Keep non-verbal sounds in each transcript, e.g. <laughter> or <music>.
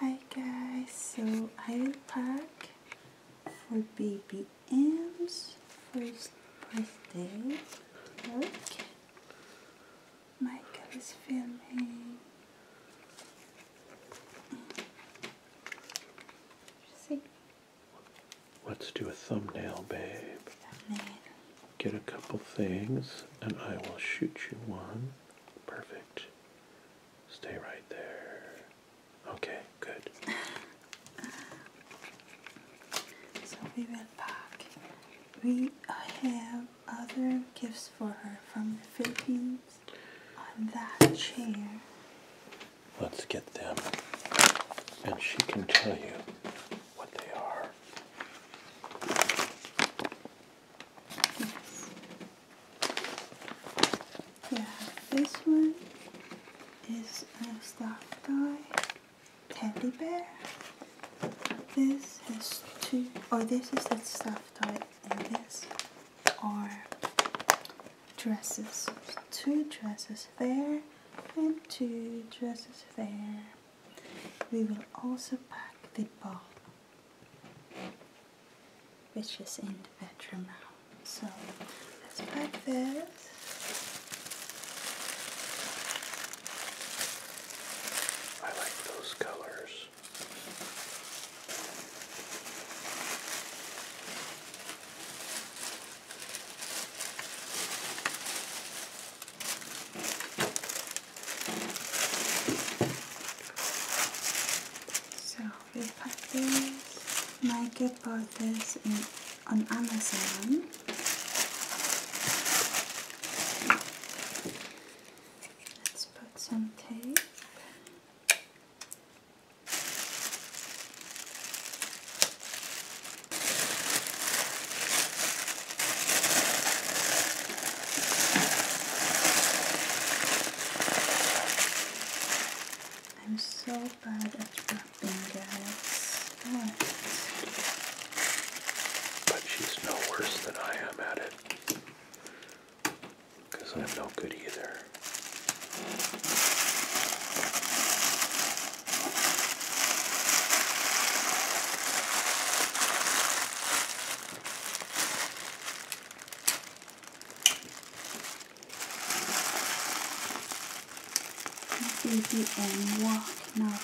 Hi guys, so I will pack for BBM's first birthday. Michael is filming. Let's do a thumbnail, babe get a couple things and I will shoot you one. Perfect. Stay right there. Okay, good. <laughs> so we will pack. We have other gifts for her from the Philippines on that chair. Let's get them and she can tell you yeah, this one is a stuffed toy teddy bear. This has two, or oh, this is the stuffed toy, and this are dresses. Two dresses there, and two dresses there. We will also pack the bath, which is in the bedroom now. So let's pack this. I like those colors. So we got this. Nike bought this in, on Amazon. Let's put some tape. I'm so bad at wrapping, guys. But she's no worse than I am at it. Because I'm no good either baby and walk now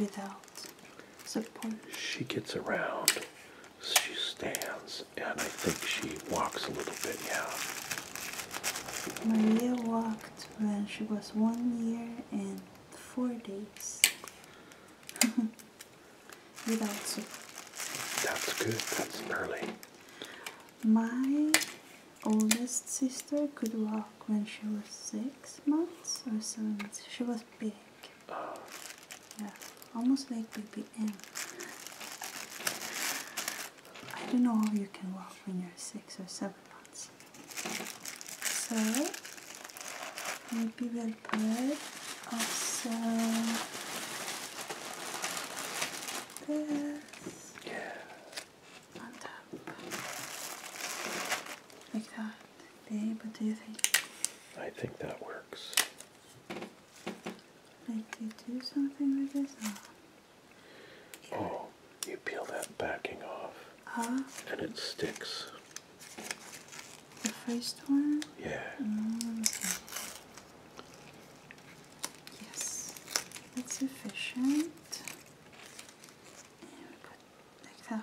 without support. She gets around, she stands, and I think she walks a little bit, yeah. Maria walked so she was one year and four days <laughs> without soup. That's good, that's early. My oldest sister could walk when she was six months or seven months. She was big. Oh. Yeah, almost like baby I I don't know if you can walk when you're six or seven months. So maybe we'll put also this on top. Like that. Babe, what do you think? I think that works. Like, do do something with this? Oh, you peel that backing off. And it sticks. The first one? Yeah. Mm, Yes, it's efficient. Yeah.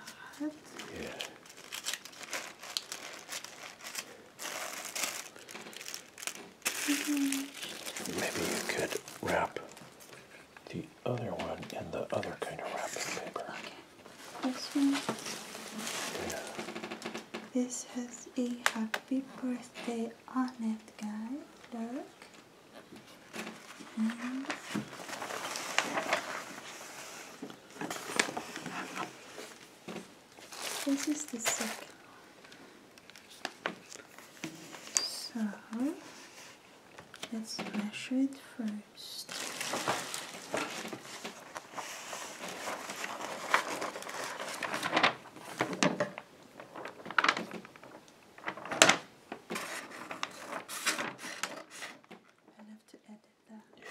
Maybe you could wrap the other one in the other kind of wrapping paper. This one. This has a happy birthday on it, guys. Look. this is the second so let's measure it first. have to edit that.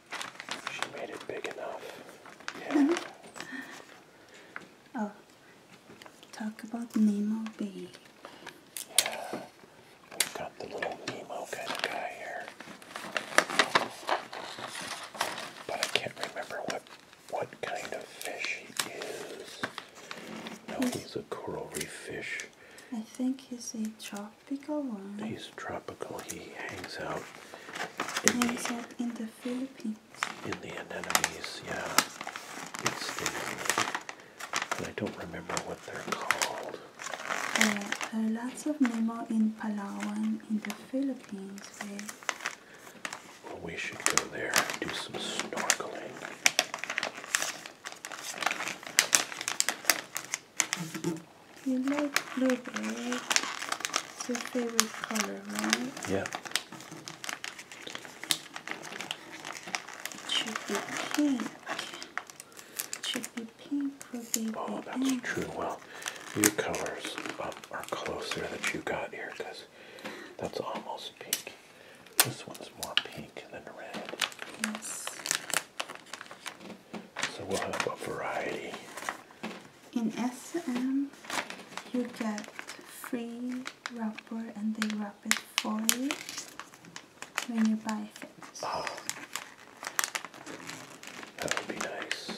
She made it big enough. Yeah. Mm-hmm. oh, talk about Nemo Babe. Yeah, we've got the little Nemo kind of guy here. But I can't remember what what kind of fish he is. No, he's, he's a coral reef fish. I think he's a tropical one. He's tropical. He hangs out in the, Philippines. In the anemones, yeah. It's stinging. I don't remember what they're called. Uh, uh, lots of nemo in Palawan, in the Philippines, Well, we should go there and do some snorkeling. You like blue, right? It's your favorite color, right? Yeah. It should be pink. It should be pink for baby. Oh, that's true. Well, your colors um, are closer that you got here because that's almost pink. This one's more pink than red. Yes. So we'll have a variety. In SM, you get free wrapper and they wrap it for you when you buy things. Oh, that would be nice.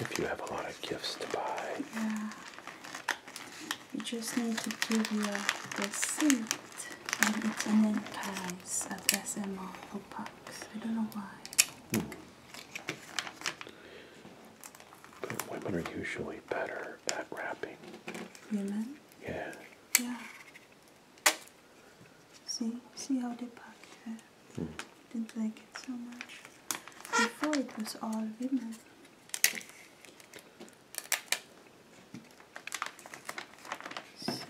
If you have a lot of gifts to buy. Yeah. You just need to give you your receipt and it's an enterprise at SMR Opa. I don't know why. But women are usually better at wrapping. Women? Yeah. Yeah. See, see how they packed it. Hmm. Didn't like it so much. Before it was all women. So,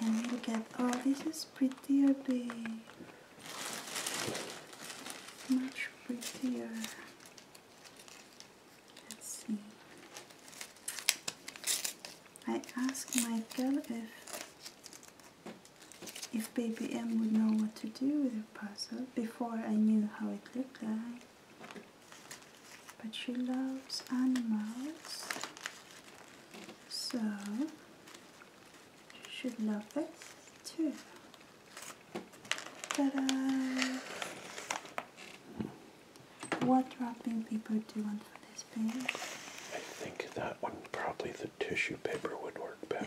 and we'll get, oh, this is prettier big. Much prettier. Let's see. I asked Michael if if baby M would know what to do with her puzzle before I knew how it looked like but she loves animals, so she should love this too. Ta-da! What wrapping paper do you want for this page? I think that one, probably the tissue paper would work better.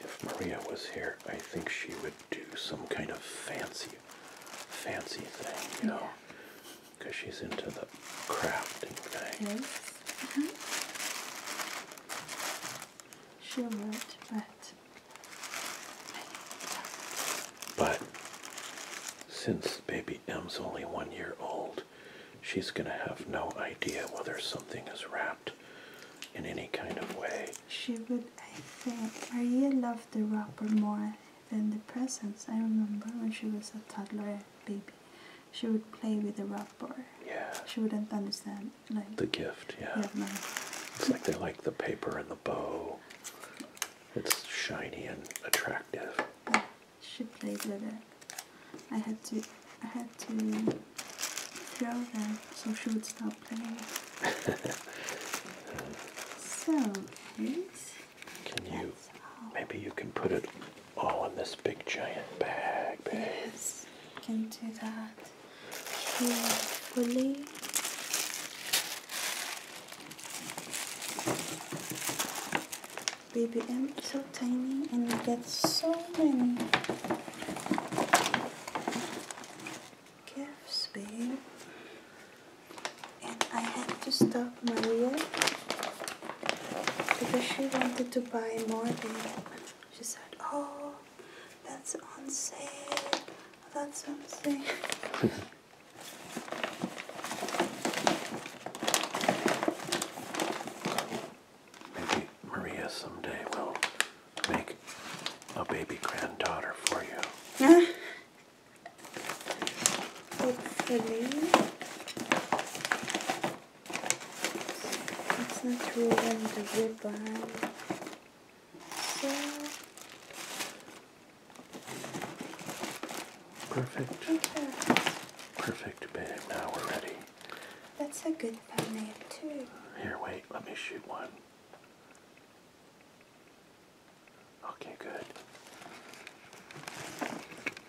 If Maria was here, I think she would do some kind of fancy, fancy thing, you know, because she's into the crafting thing. Uh-huh. She would, but. But since baby Em's only one year old. She's going to have no idea whether something is wrapped in any kind of way. She would, I think, Maria loved the wrapper more than the presents. I remember when she was a toddler baby, she would play with the wrapper. Yeah. She wouldn't understand. like The gift, yeah. It's like they like the paper and the bow. It's shiny and attractive. I should play with it. I had to I had to throw them so she would stop playing. <laughs> so here's Can you maybe you can put it all in this big giant bag bag. Yes. Can do that carefully. BBM is so tiny and you get so many gifts, babe. And I had to stop Maria because she wanted to buy more, babe. She said, oh, that's on sale, that's on sale. <laughs> Maybe Maria someday will make a baby granddaughter for you. Uh, hopefully. Let's not ruin the ribbon. Perfect. Perfect, babe. Now we're ready. That's a good thumbnail too. Here, wait. Let me shoot one. Okay, good.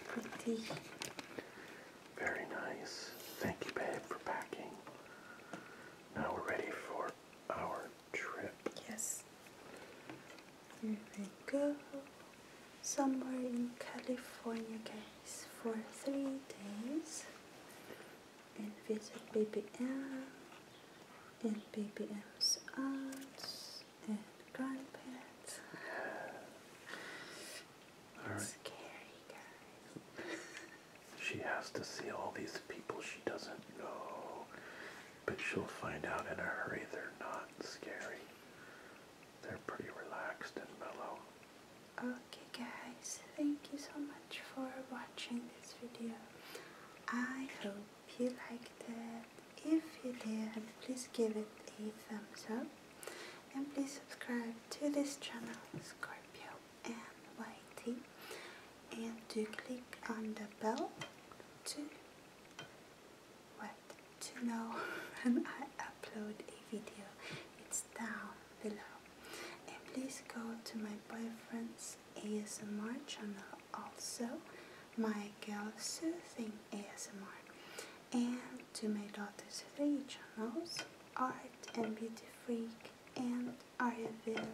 Pretty. Very nice. Thank you, babe, for packing. Now we're ready for our trip. Yes. Here we go. Somewhere in California, guys, for three days. And visit BBM and BBM's aunts and grandparents. <sighs> All right. Scary, guys. <laughs> She has to see all these people she doesn't know, but she'll find out in a hurry they're not scary. They're pretty relaxed and mellow. Okay guys, thank you so much for watching this video. I hope you liked it. If you did, please give it a thumbs up and please subscribe to this channel, Scorpio and and to click on the bell to what to know <laughs> when I upload a video it's down below and please go to my boyfriend's ASMR channel also my girl soothing ASMR and to my daughter's three channels art and beauty freak and Ariaville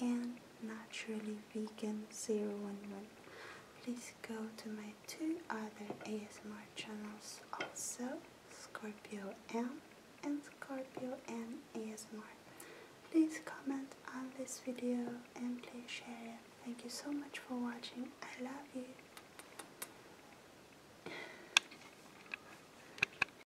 and naturally vegan 011 please go to my two other asmr channels also scorpio m and scorpio N asmr please comment on this video and please share it thank you so much for watching i love you